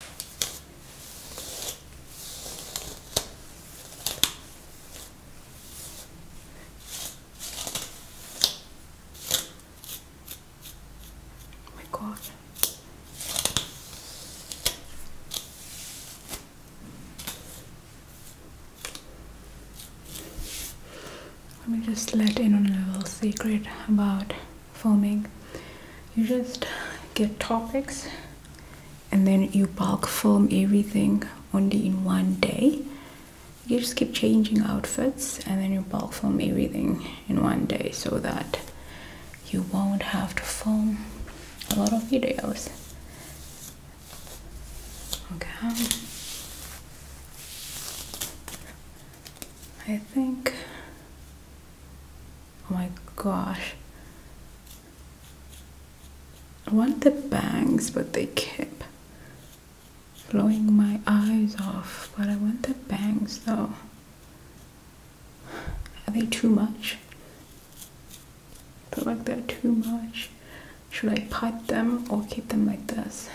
Oh my God. Let me just let in on a little secret about foaming you just get topics and then you bulk film everything only in one day you just keep changing outfits and then you bulk film everything in one day so that you won't have to film a lot of videos okay I think oh my gosh I want the bangs but they keep blowing my eyes off but I want the bangs though are they too much? I feel like they're too much should I part them or keep them like this?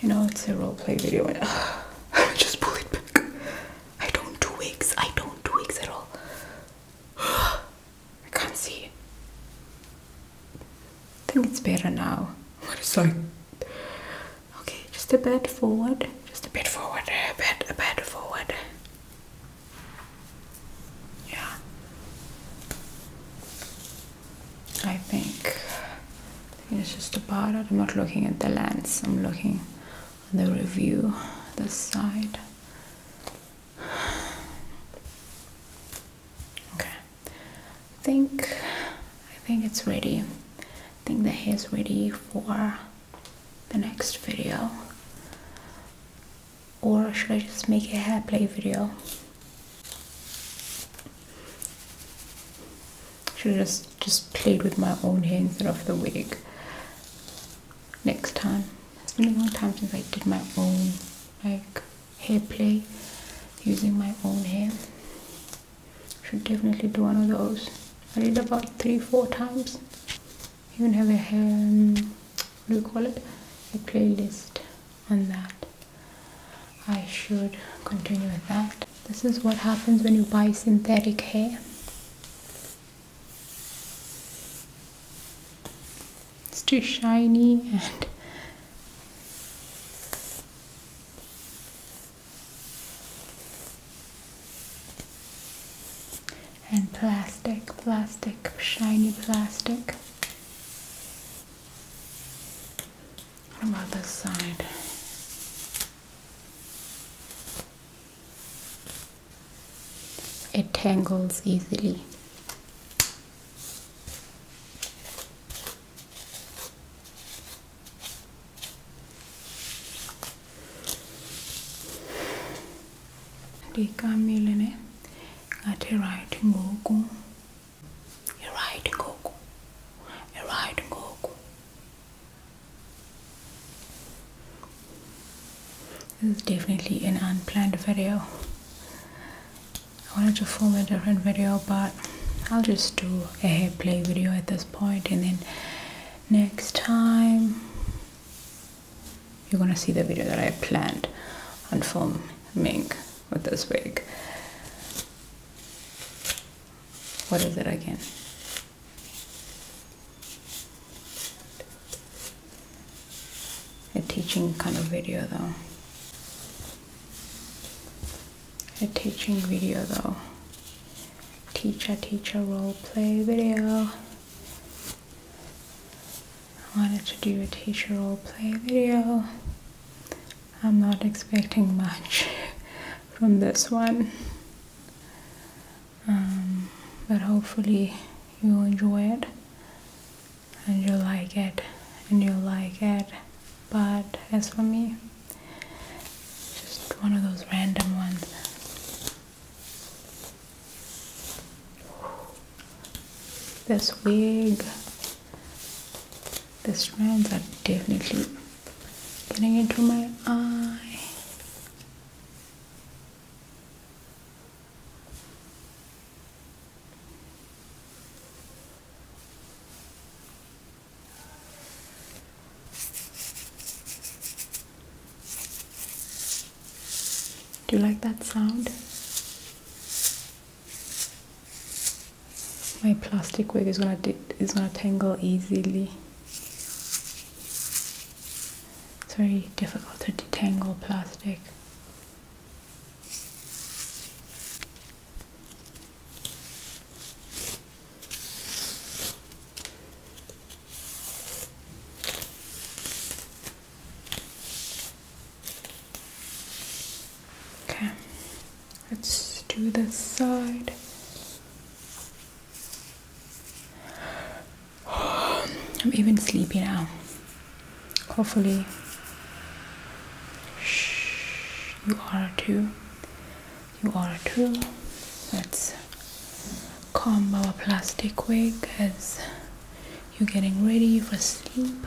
You know, it's a roleplay video. just pull it back. I don't do wigs. I don't do wigs at all. I can't see. I think it's better now. What is that? Okay, just a bit forward. Just a bit forward. A bit, a bit forward. Yeah. I think it's just a part. I'm not looking at the lens. I'm looking at the review, the side. Okay. I think I think it's ready. I think the hair is ready for the next video. Or should I just make a hair play video? should just just played with my own hair instead of the wig next time it's been a long time since i did my own like hair play using my own hair should definitely do one of those i did about three four times even have a hair um, what do you call it a playlist on that I should continue with that. This is what happens when you buy synthetic hair. It's too shiny and and plastic, plastic, shiny plastic. What about this side? It tangles easily. टीका मिलने गाठे right गो को you're Goku. You're Goku. This is definitely an unplanned video. I wanted to film a different video, but I'll just do a hair play video at this point, and then next time you're gonna see the video that I planned on filming with this wig what is it again? A teaching kind of video though. A teaching video though. Teacher, teacher role play video. I wanted to do a teacher role play video. I'm not expecting much from this one. Um, but hopefully you enjoy it and you like it and you like it. But as for me, just one of those random ones. This wig the strands are definitely getting into my eye do you like that sound my plastic wig is gonna is gonna tangle easily. It's very difficult to detangle plastic. Okay. Let's do this side. I'm even sleepy now. Hopefully, Shh, you are too. You are too. Let's comb our plastic wig as you're getting ready for sleep.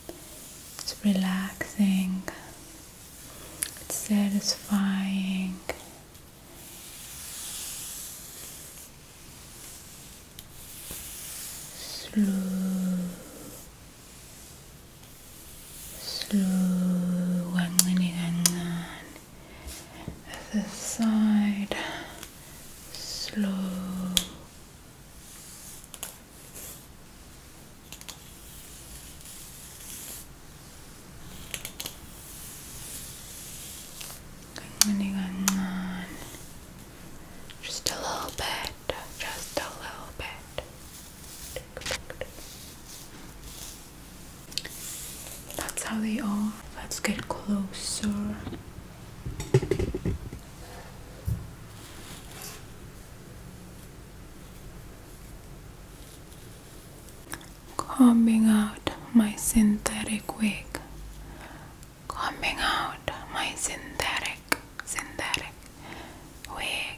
It's relaxing, it's satisfying. Slow, slow, at the uh, side, slow, just a little bit, just a little bit. That's how they are. Let's get closer. Combing out my synthetic wig. Combing out my synthetic, synthetic wig.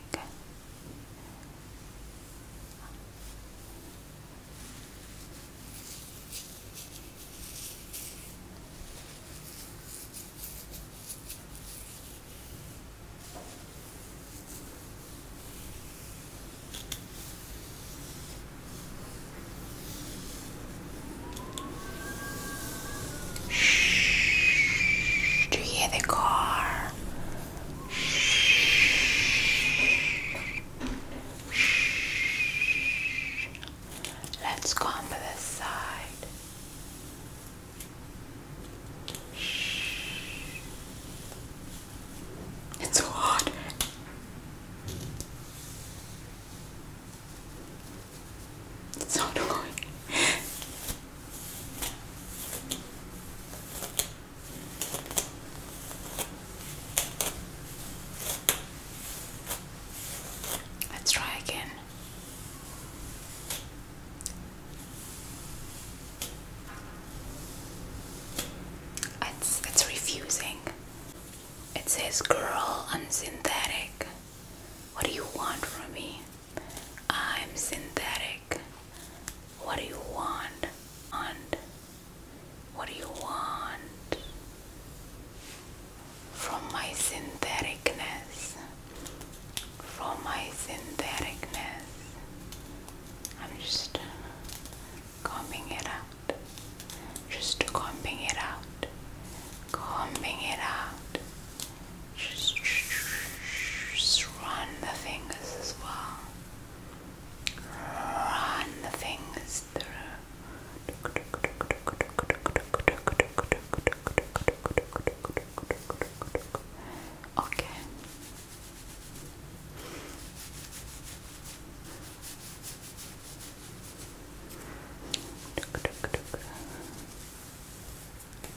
Shh, do you hear the car? Shh. Let's go on to the side. It's so hot. It's so annoying. Let's try again. It's it's refusing. It says, "Girl, I'm synthetic. What do you want from me? I'm synthetic. What do you want? what do you want?" from my syntheticness, from my syntheticness. I'm just combing it out, just combing it out, combing it out. Just, just run the fingers as well. Run the fingers through. Okay.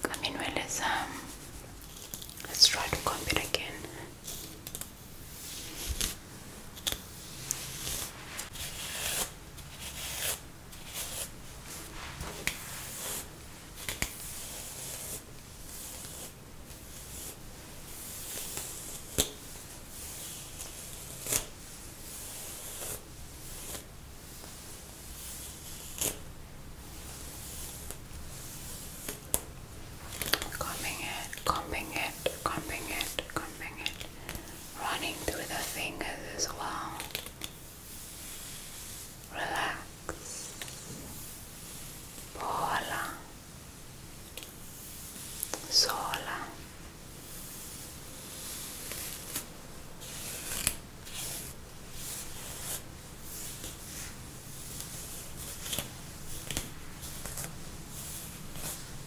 I let's um, let's try to comb it again. Combing it, combing it, combing it, combing it running through the fingers as well. Relax. Bola. Sola.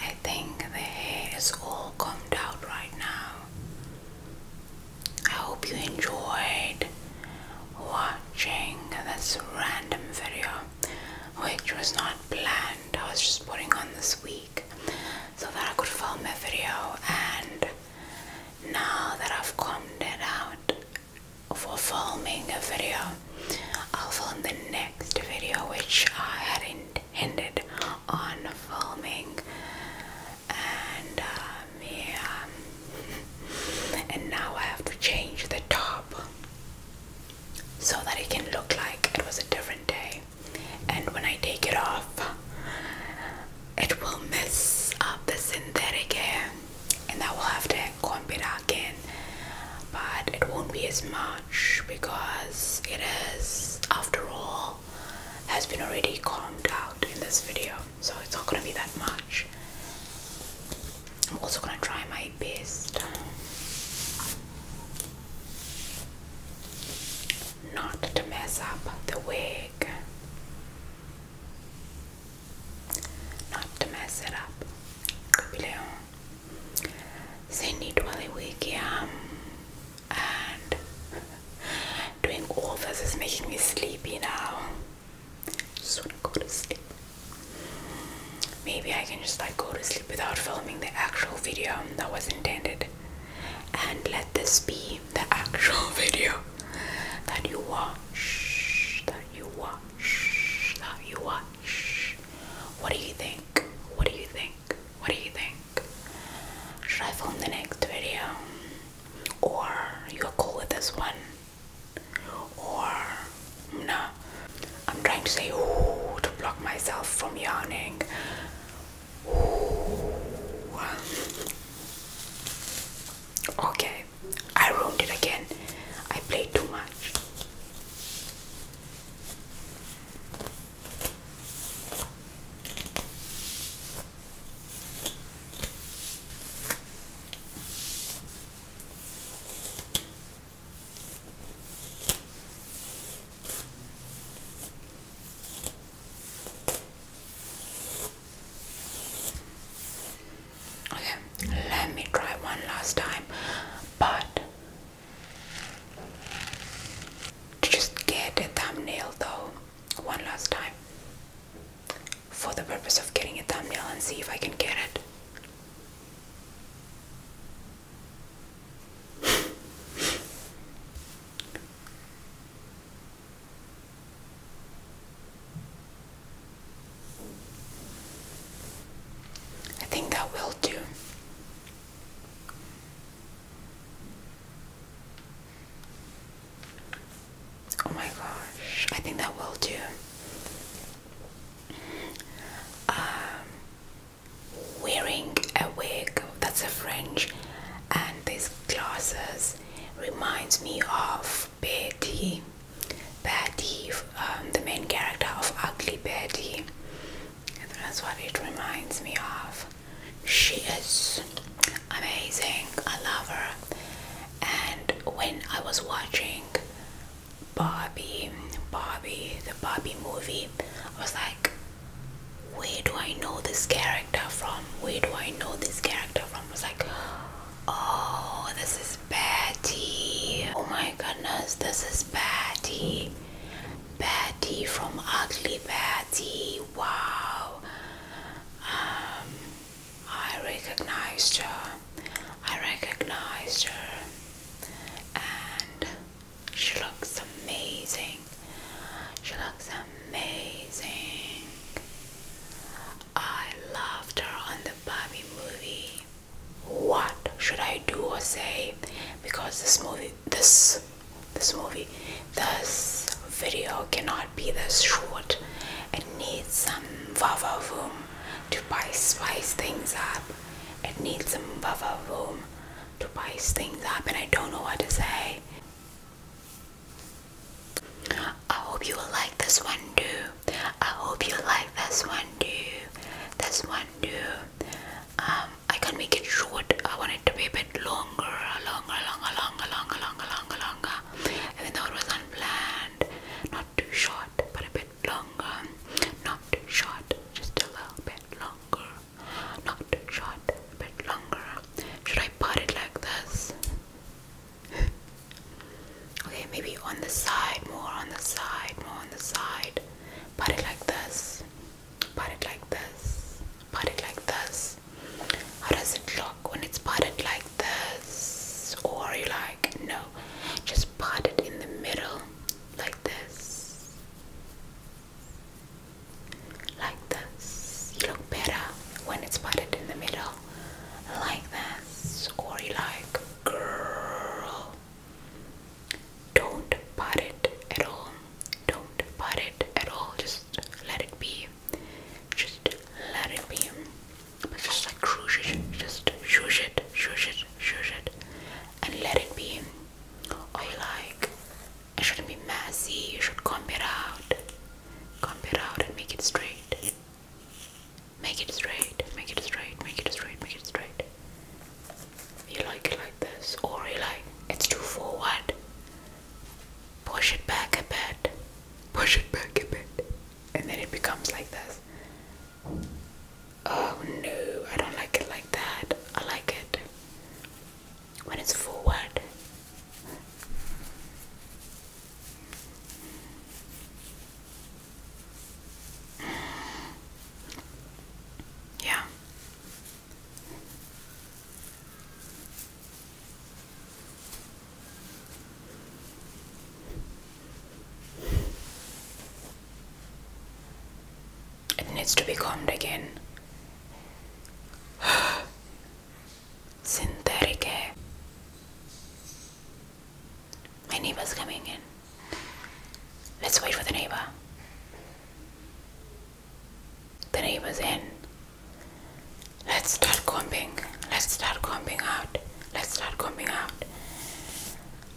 I think the hair is all combed out right now. I hope you enjoyed watching this random video, which was not planned. I was just putting on this week so that I could film a video and now that I've come it out for filming a video, I'll film the next video which I had intended on filming. And um, yeah, and now I have to change the top so that it can look like it was a different day and when I take it off, it will mess up the synthetic hair, and I will have to comb it again. But it won't be as much because it has, after all, has been already combed out in this video, so it's not gonna be that much. I'm also gonna try my best not to mess up the wig. Not to mess it up. Capileo. They need Wally Wig, And doing all this is making me sleepy now. Just wanna go to sleep. Maybe I can just like go to sleep without filming the actual video that was intended and let this be the actual video that you watch that you watch that you watch what do you think what do you think what do you think should I film the next video or you're cool with this one or no I'm trying to say ooh to block myself from yawning Okay, I ruined it again. I played too much. Okay, let me try one last time, but to just get a thumbnail though, one last time, for the purpose of getting a thumbnail and see if I can get it. I think that will do. Oh my gosh, I think that will do. Um, wearing a wig that's a fringe and these glasses reminds me of Betty Betty um, the main character of Ugly Betty and that's what it reminds me of she is amazing I love her and when I was watching Barbie Barbie the Barbie movie I was like where do I know this character from? Where do I know this character from? Was like, oh, this is Betty. Oh my goodness, this is Betty. Betty from Ugly Betty. Wow. Um, I recognized her. I recognized her. And she looks amazing. She looks amazing. I loved her on the Barbie movie. What should I do or say? Because this movie, this, this movie, this video cannot be this short. It needs some vava room to spice things up. It needs some vava room to spice things up and I don't know what to say. I hope you will like this one too. I hope you like this one too. This one too. Um, I can make it short. I want it to be a bit longer, longer, longer, longer, longer, longer, longer, longer. Even though it was unplanned. Not too short, but a bit longer. Not too short, just a little bit longer. Not short, a bit longer. Should I put it like this? okay, maybe on the side, more on the side, more on the side. Part it like this. Part it like this. Part it like this. How does it look when it's parted like this? Or you like, no, just part it in the middle like this. Like this. You look better when it's parted in the middle. Like this. Or you like, girl. Don't part it at all. Don't part it at all. Just let it be. Just let it be. But just like cruise it. Just shush it, shush it, shush it. And let it be. Or you like, it shouldn't be messy. You should comb it out. Comb it out and make it straight. Make it straight. Make it straight. Make it straight. Make it straight. You like it like this, or you like it's too forward. Push it back a bit. Push it back a bit, and then it becomes like this. Oh no, I don't like it like that. I like it when it's forward. Yeah. It needs to be combed again. Synthetic hair. My neighbor's coming in. Let's wait for the neighbor. The neighbor's in. Let's start combing. Let's start combing out. Let's start combing out.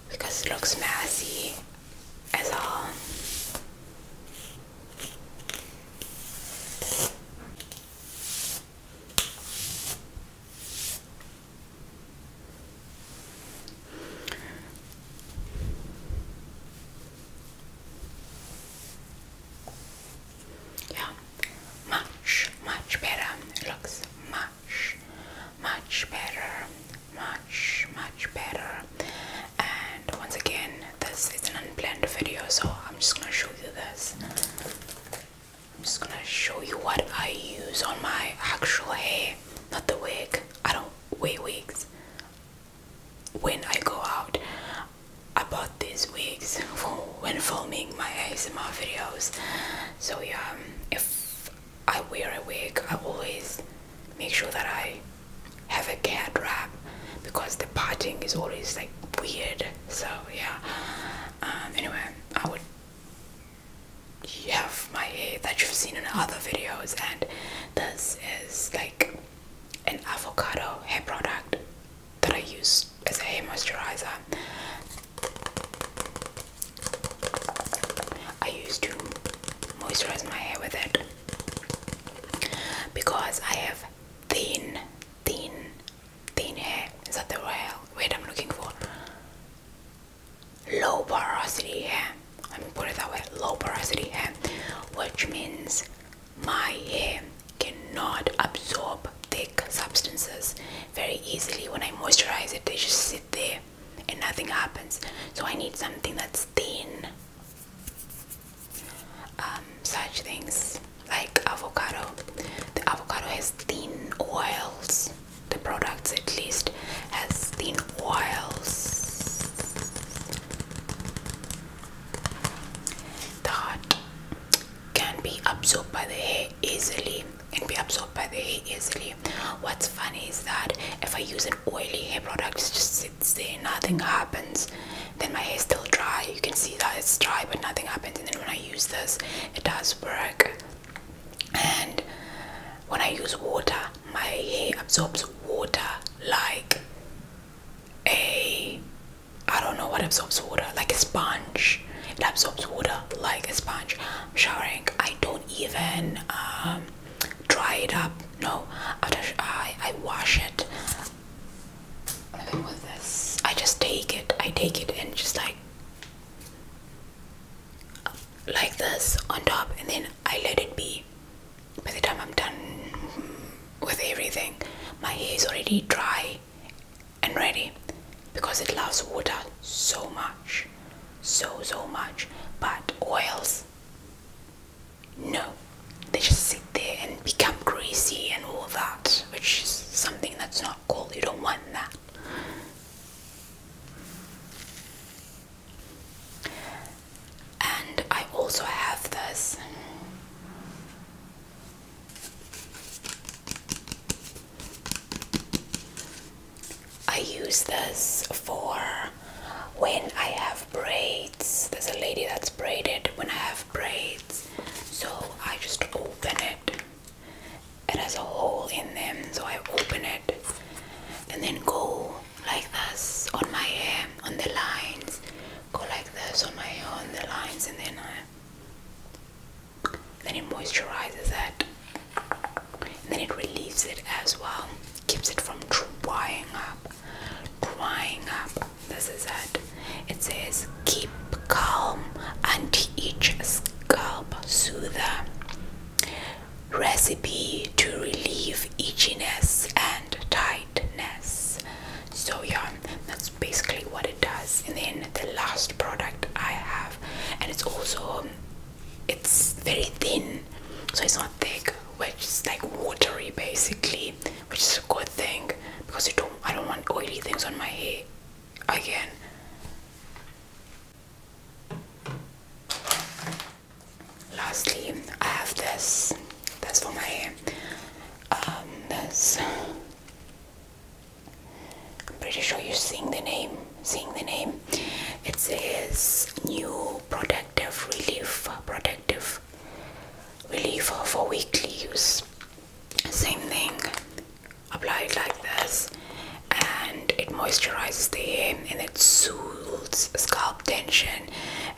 Because it looks messy. It's all. Yeah, much, much better. looks much, much better much much better and once again this is an unplanned video so I'm just gonna show you this I'm just gonna show you what I use on my actual hair not the wig I don't wear wigs when I go out I bought these wigs when filming my ASMR videos so yeah if I wear a wig, I always make sure that I have a cat wrap because the parting is always like weird. So yeah. Um, anyway, I would have my hair that you've seen in other videos, and this is like an avocado hair product that I use as a hair moisturizer. I use to moisturize my hair with it because I have thin, thin, thin hair. Is that the word I'm looking for? Low porosity hair. Let me put it that way. Low porosity hair, which means my hair cannot absorb thick substances very easily. When I moisturize it, they just sit there and nothing happens. So I need something that's thin. Um, such things like avocado. The avocado has thin oils. The products at least has thin oils. The heart can be absorbed by the hair easily. Can be absorbed by the hair easily what's funny is that if i use an oily hair product it just sits there nothing happens then my hair is still dry you can see that it's dry but nothing happens and then when i use this it does work and when i use water my hair absorbs water like a i don't know what absorbs water like a sponge it absorbs water like a sponge i'm showering i don't even um, dry it up no, I I wash it. I just take it. I take it and just like like this on top, and then I let it be. By the time I'm done with everything, my hair is already dry and ready because it loves water so much so so much but oils no, they just sit there and become greasy and all that, which is something that's not cool. You don't want that. And I also have this. I use this for when I have braids. There's a lady that's braided when I have braids. So I just open it. It has a hole in them, so I open it and then go like this on my hair, on the lines. Go like this on my hair, on the lines, and then I. Then it moisturizes it then it relieves it as well keeps it from drying up drying up this is it it says keep calm anti itch scalp soother recipe to relieve itchiness and tightness so yeah that's basically what it does and then the last product i have and it's also it's very thin so it's not thick which is like watery basically which is a good thing because I don't want oily things on my hair again lastly I have this that's for my hair um, this I'm pretty sure you're seeing the name seeing the name it says new protective relief protective relief for weekly use same thing apply it like this and it moisturizes the hair and it soothes scalp tension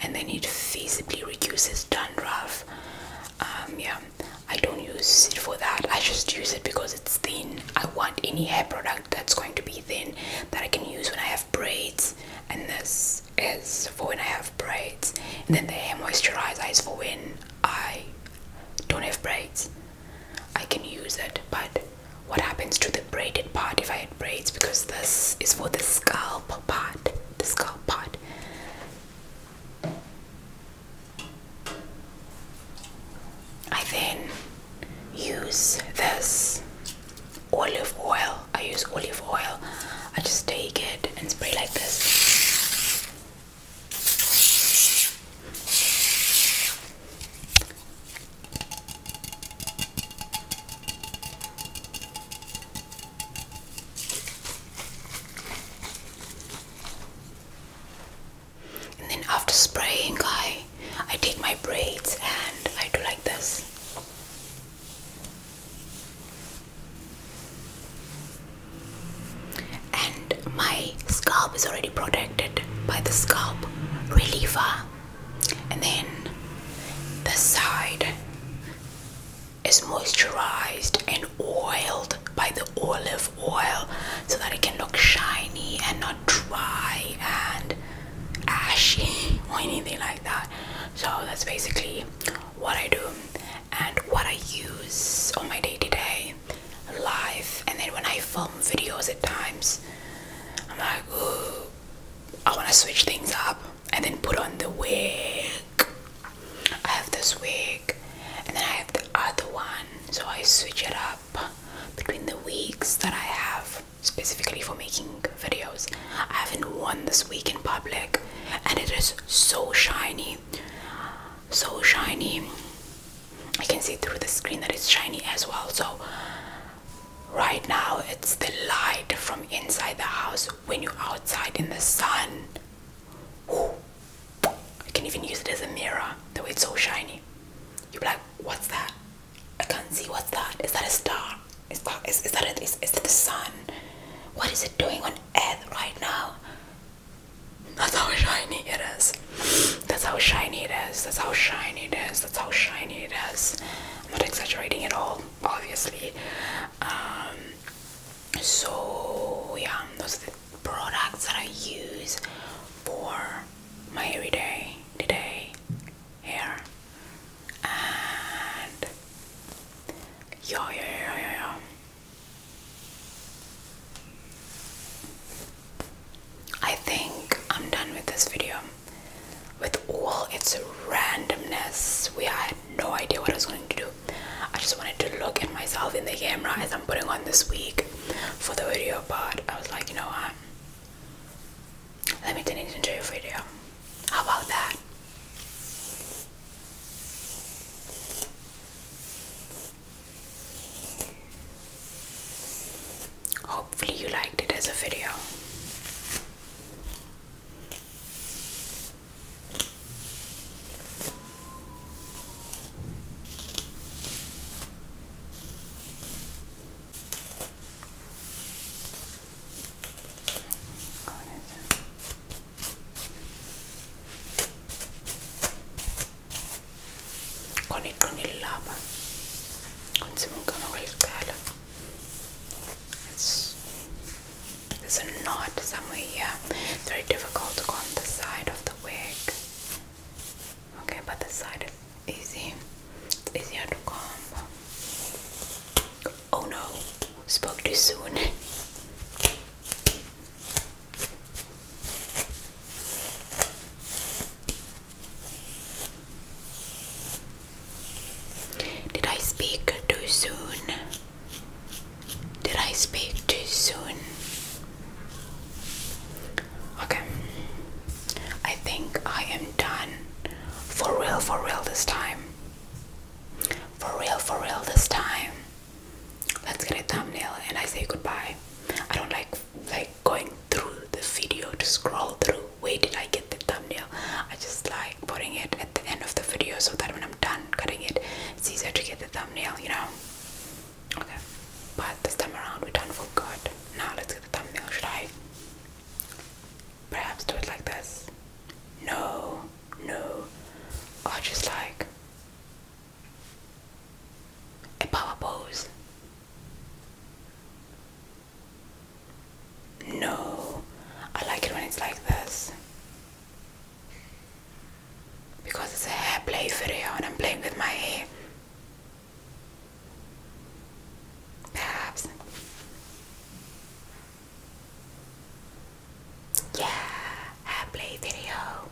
and then it feasibly reduces dandruff um, yeah I don't use it for that I just use it because it's thin I want any hair product that's going to be thin that I can use when I have braids and this is for when I have braids and then the hair moisturizer is for when I don't have braids I can use it but what happens to the braided part if I had braids because this is for the scalp part the scalp part I then use this olive oil. I use olive oil. I just take it and spray like this and then after spraying I I take my braids and I do like this and my scalp is already protected by the scalp reliever and then the side is moisturized and oiled by the olive oil so that it can look shiny and not dry and ashy or anything like that. So that's basically what I do and what I use on my day to day life. And then when I film videos at times, I'm like, I want to switch things up and then put on the wig. I have this wig and then I have the other one, so I switch it up between the weeks that I have specifically for making videos. I haven't worn this week in public and it is so shiny. So shiny. I can see through the screen that it's shiny as well. So right now it's the light from inside the house when you're outside in the sun. Ooh. I can even use it as a mirror, though it's so shiny. You're like, what's that? I can't see what's that. Is that a star? Is that is, is that a, is, is that the sun? What is it doing on earth right now? That's how shiny it is. That's how shiny it is. That's how shiny it is. That's how shiny it is. I'm not exaggerating at all, obviously. Um, so yeah, those are the products that I use for my everyday today hair and yo yo yo yo yo I think I'm done with this video with all its randomness we had no idea what I was going to do I just wanted to look at myself in the camera as I'm putting on this wig for the video part. I was like you know what? Let me turn it into a video. How about that? Hopefully, you liked it as a video con il, con it's, a knot somewhere here very difficult to go on the side of the wig Okay, but the side is easy. It's easier to comb. Oh no, spoke too soon. Did I speak too soon? Did I speak too soon? Okay. I think I am done. For real, for real this time. For real, for real this time. Let's get a thumbnail and I say goodbye. I don't like like going through the video to scroll through. Where did I get the thumbnail? I just like putting it at the end of the video so that when I'm done cutting it, it's easier to get the thumbnail, you know. Okay, but this time around we done for good. Now let's get the thumbnail. Should I perhaps do it like this? No, no, or just like a power pose. No, I like it when it's like this because it's a hair play video and I'm playing with my hair. Perhaps. Yeah, play video.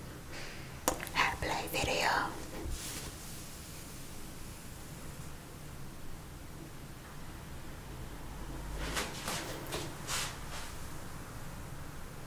play video.